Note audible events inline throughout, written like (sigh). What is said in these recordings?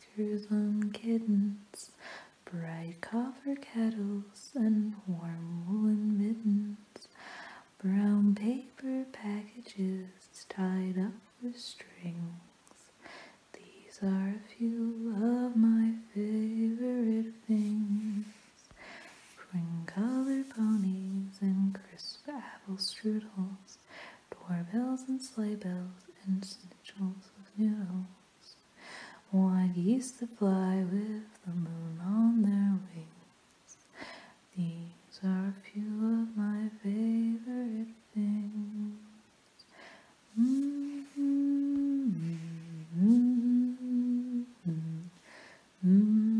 screw them kittens, bright copper kettles and warm woolen mittens, brown paper packages tied up with strings. These are a few of my favorite things. Cream colored ponies and crisp apple strudels bells, dwarf bells and sleigh bells, and snitchels of noodles. White geese that fly with the moon on their wings. These are a few of my favorite things. Mm-hmm. Mm-hmm. Mm-hmm.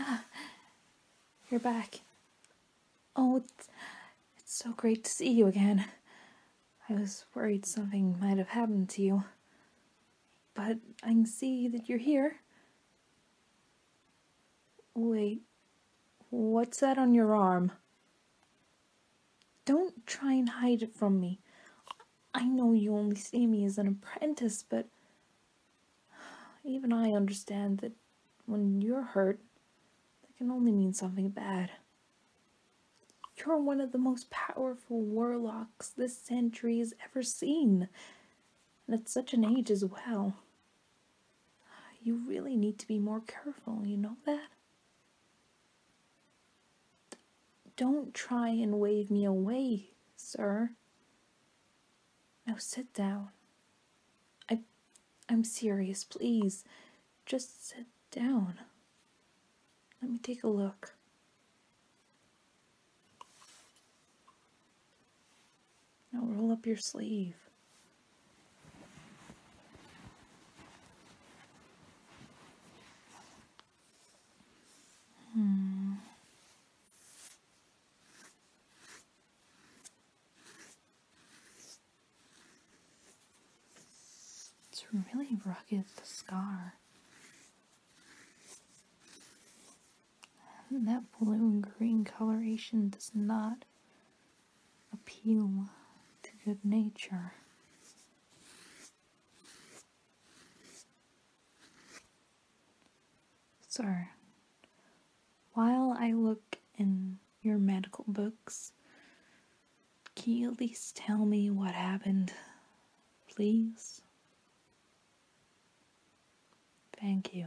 Ah, you're back. Oh, it's, it's so great to see you again. I was worried something might have happened to you. But I can see that you're here. Wait, what's that on your arm? Don't try and hide it from me. I know you only see me as an apprentice, but even I understand that when you're hurt, that can only mean something bad. You're one of the most powerful warlocks this Centuries ever seen, and at such an age as well. You really need to be more careful, you know that? Don't try and wave me away, sir. Now sit down. I, I'm serious, please. Just sit down. Let me take a look. Now roll up your sleeve. Hmm. It's really rugged, the scar. That blue and green coloration does not appeal to good nature. Sir, while I look in your medical books, can you at least tell me what happened please? Thank you.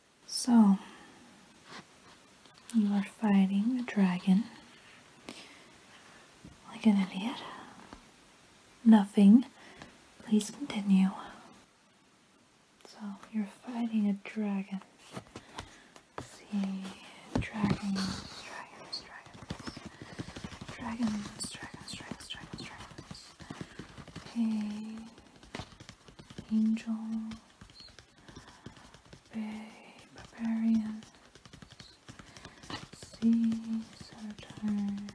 So, you are fighting a dragon like an idiot. Nothing. Please continue. So, you're fighting a dragon. Let's see, dragons, dragons, dragons, dragons, dragons, dragons, dragons, dragons. Bay barbarians, sea satyrs,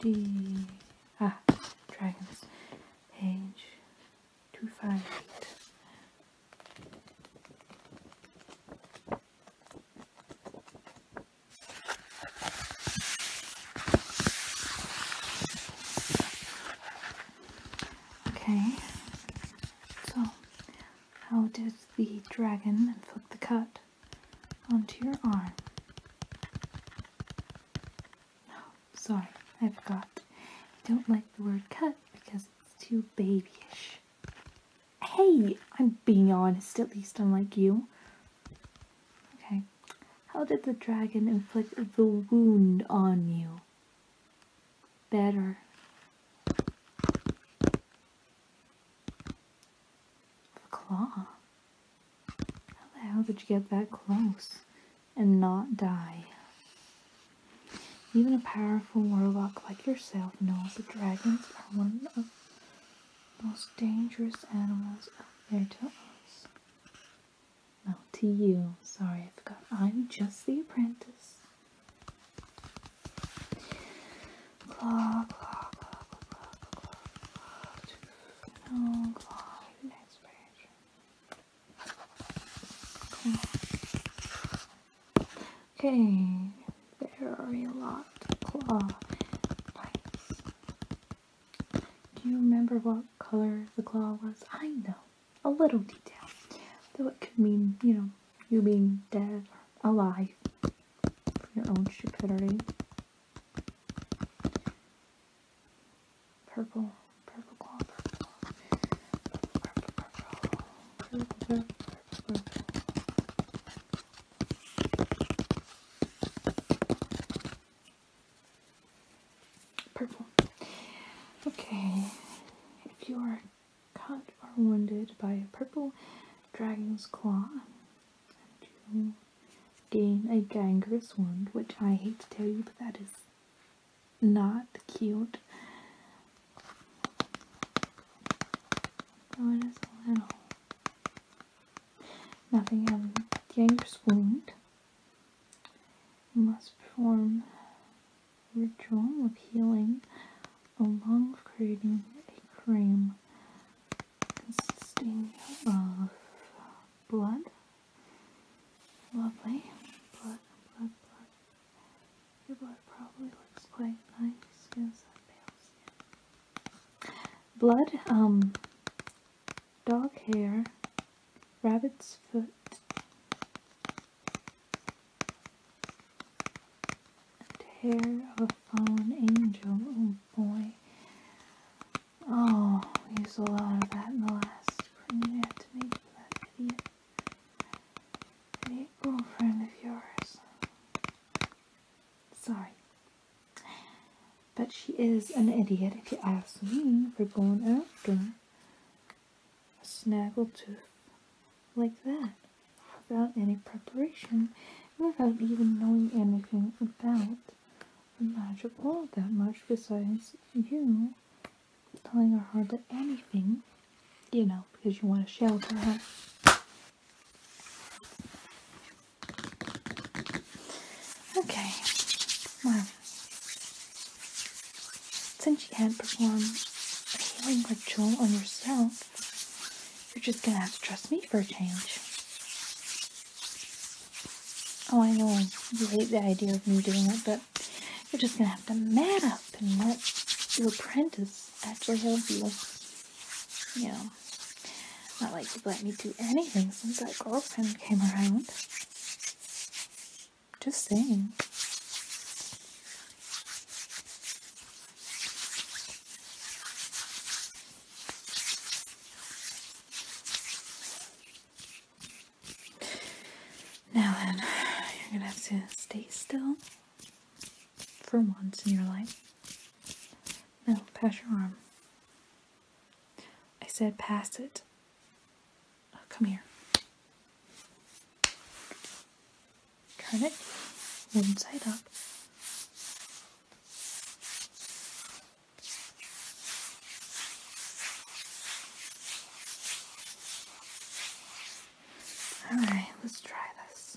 D ah dragons, H two five eight. Okay, so how did the dragon inflict the cut onto your arm? No, sorry, I forgot. I don't like the word cut because it's too babyish. Hey, I'm being honest, at least unlike you. Okay, how did the dragon inflict the wound on you? Better. claw. How the hell did you get that close and not die? Even a powerful warlock like yourself knows that dragons are one of the most dangerous animals out there to us. No, to you. Sorry, I forgot. I'm just the apprentice. Okay. There a lot of do you remember what color the claw was? I know. A little detail. Though it could mean, you know, you being dead or alive for your own stupidity. Purple, purple claw, purple, purple, purple, purple, purple, purple, purple. Purple. Okay, if you are cut or wounded by a purple dragon's claw, you gain a gangrenous wound, which I hate to tell you, but that is not cute. Nothing um, the wound must perform ritual of healing along with creating a cream consisting of blood. Lovely. Blood, Your blood probably looks quite nice. Yes, that pale skin. Blood, um, dog hair, rabbit's foot, hair of a fallen angel. Oh boy. Oh, we used a lot of that in the last print I had to make for that girlfriend of yours. Sorry. But she is an idiot, if you ask me, for going after a snaggletooth like that without any preparation and without even knowing anything about the magic world that much besides you telling her hardly anything, you know, because you want to shelter her. Okay, well, since you can't perform a healing ritual on yourself, you're just gonna have to trust me for a change. Oh, I know you hate the idea of me doing it, but you're just gonna have to man up and let your apprentice actually help you. You know, not like you've let me do anything since that girlfriend came around. Just saying. Now then, you're gonna have to stay still for once in your life. Now, pass your arm. I said, Pass it. Uh, come here. Turn it one side up. Alright, let's try this.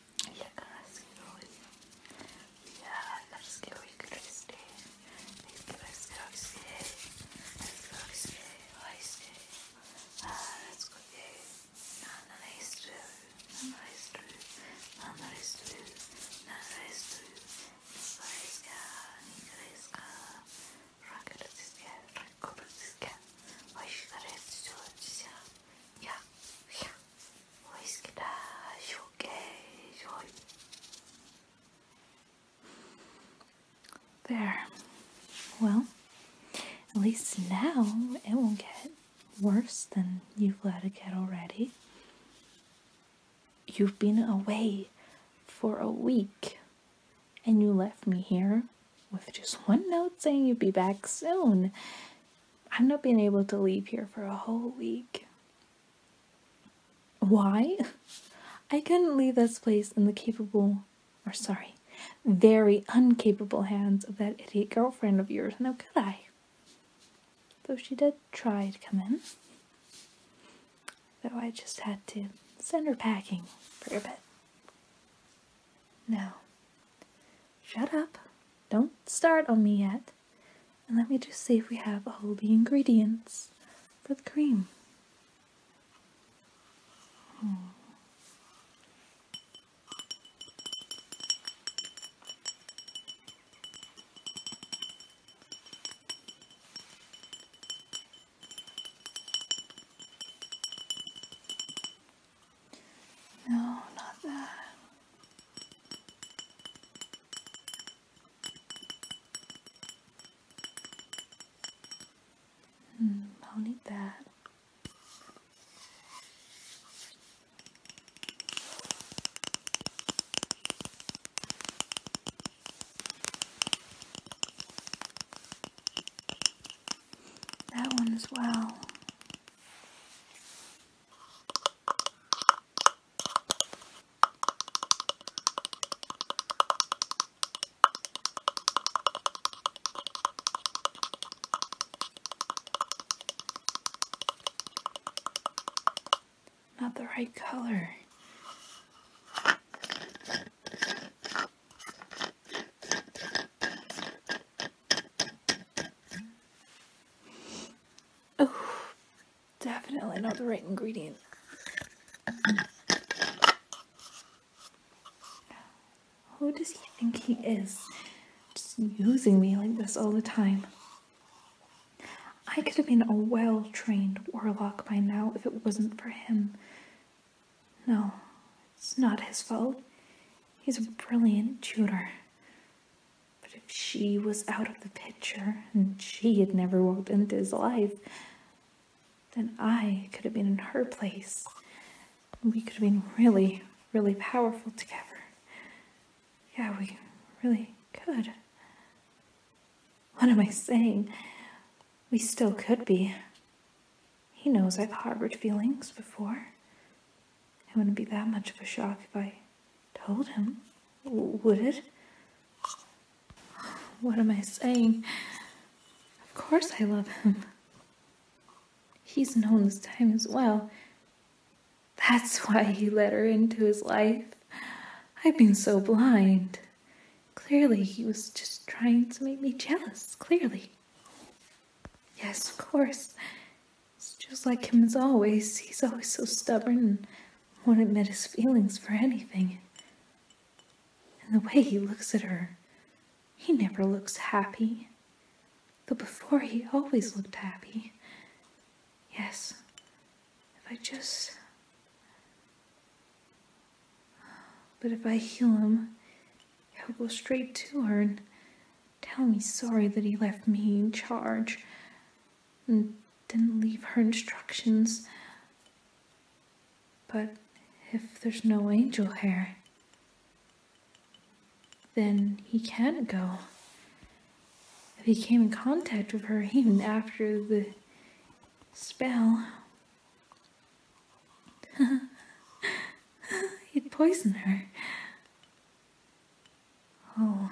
Я раскройся. Я раскрой кресты. Ты раскройся. Раскройся. Раскройся. Раскройся. Nana is true. Nana is true. Nana is true. Nana is true. Nicoleska. Nicoleska. Rakoletiska. Rakoletiska. Ваш горец все от себя. Я. Я. There. Well, at least now it won't get worse than you've let it get already. You've been away for a week and you left me here with just one note saying you'd be back soon. I've not been able to leave here for a whole week. Why? (laughs) I couldn't leave this place in the capable, or sorry, very uncapable hands of that idiot girlfriend of yours, now could I? Though she did try to come in. Though I just had to send her packing for a bit. No, Shut up. Don't start on me yet. And let me just see if we have all the ingredients for the cream. No, not that. Mm, I'll need that. That one as well. Not the right color. Oh, definitely not the right ingredient. Who does he think he is? Just using me like this all the time. I could have been a well-trained warlock by now if it wasn't for him. No, it's not his fault. He's a brilliant tutor. But if she was out of the picture and she had never walked into his life, then I could have been in her place. We could have been really, really powerful together. Yeah, we really could. What am I saying? We still could be. He knows I've harbored feelings before. It wouldn't be that much of a shock if I told him, would it? What am I saying? Of course I love him. He's known this time as well. That's why he let her into his life. I've been so blind. Clearly, he was just trying to make me jealous, clearly. Yes, of course. It's just like him as always. He's always so stubborn and won't admit his feelings for anything. And the way he looks at her, he never looks happy. Though before he always looked happy. Yes, if I just... But if I heal him, he'll go straight to her and Tell me sorry that he left me in charge and didn't leave her instructions. But if there's no angel hair, then he can't go. If he came in contact with her even after the spell, He'd poison her. Oh.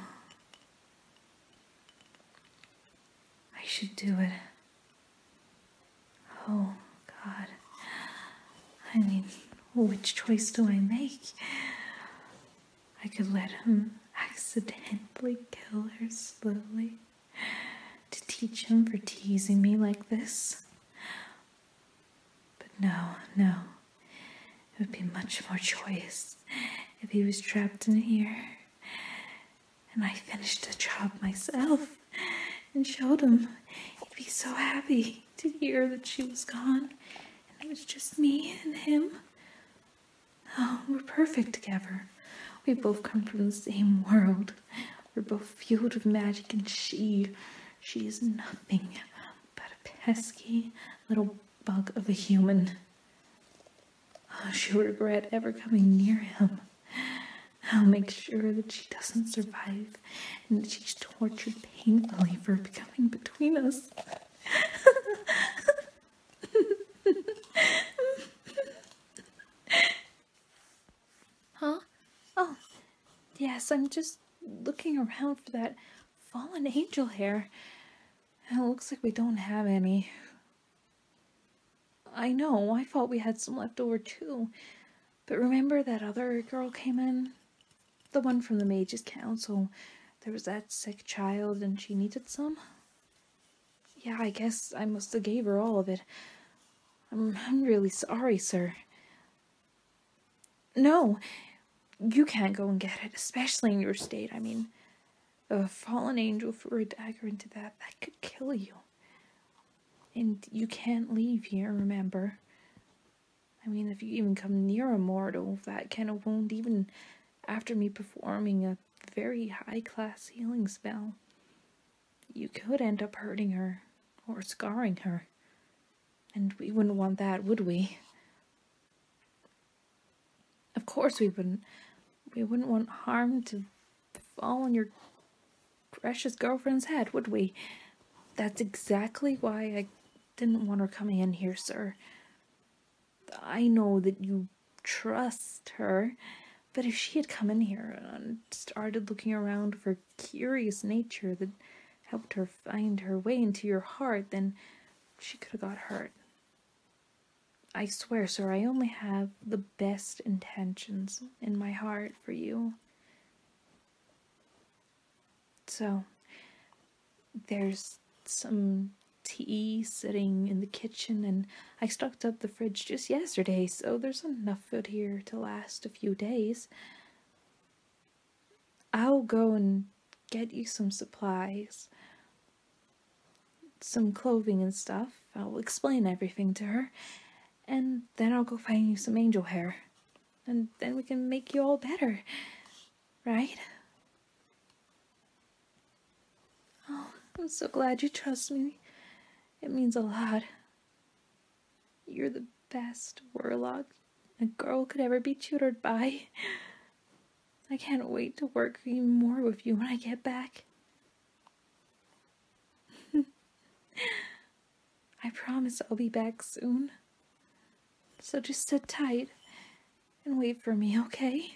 I should do it. Oh, God. I mean, which choice do I make? I could let him accidentally kill her slowly to teach him for teasing me like this. But no, no, it would be much more joyous if he was trapped in here. And I finished the job myself and showed him. He'd be so happy to hear that she was gone and it was just me and him. Oh, we're perfect together. We both come from the same world. We're both fueled with magic, and she, she is nothing but a pesky little bug of a human. Oh, she'll regret ever coming near him. I'll make sure that she doesn't survive and that she's tortured painfully for becoming between us. (laughs) Huh? Oh, yes, I'm just looking around for that fallen angel hair. It looks like we don't have any. I know, I thought we had some left over too. But remember that other girl came in? The one from the Mage's Council. There was that sick child and she needed some? Yeah, I guess I must have gave her all of it. I'm, I'm really sorry, sir. No, you can't go and get it, especially in your state. I mean, a fallen angel threw a dagger into that. That could kill you. And you can't leave here, remember? I mean, if you even come near a mortal, that kind of wound, even after me performing a very high-class healing spell, you could end up hurting her or scarring her. And we wouldn't want that, would we? Of course we wouldn't. We wouldn't want harm to fall on your precious girlfriend's head, would we? That's exactly why I didn't want her coming in here, sir. I know that you trust her, but if she had come in here and started looking around for curious nature that helped her find her way into your heart, then she could have got hurt. I swear, sir, I only have the best intentions in my heart for you. So, there's some tea sitting in the kitchen, and I stocked up the fridge just yesterday, so there's enough food here to last a few days. I'll go and get you some supplies, some clothing and stuff. I'll explain everything to her, and then I'll go find you some angel hair. And then we can make you all better, right? Oh, I'm so glad you trust me. It means a lot. You're the best, Warlock, a girl could ever be tutored by. I can't wait to work even more with you when I get back. (laughs) I promise I'll be back soon. So just sit tight and wait for me, okay?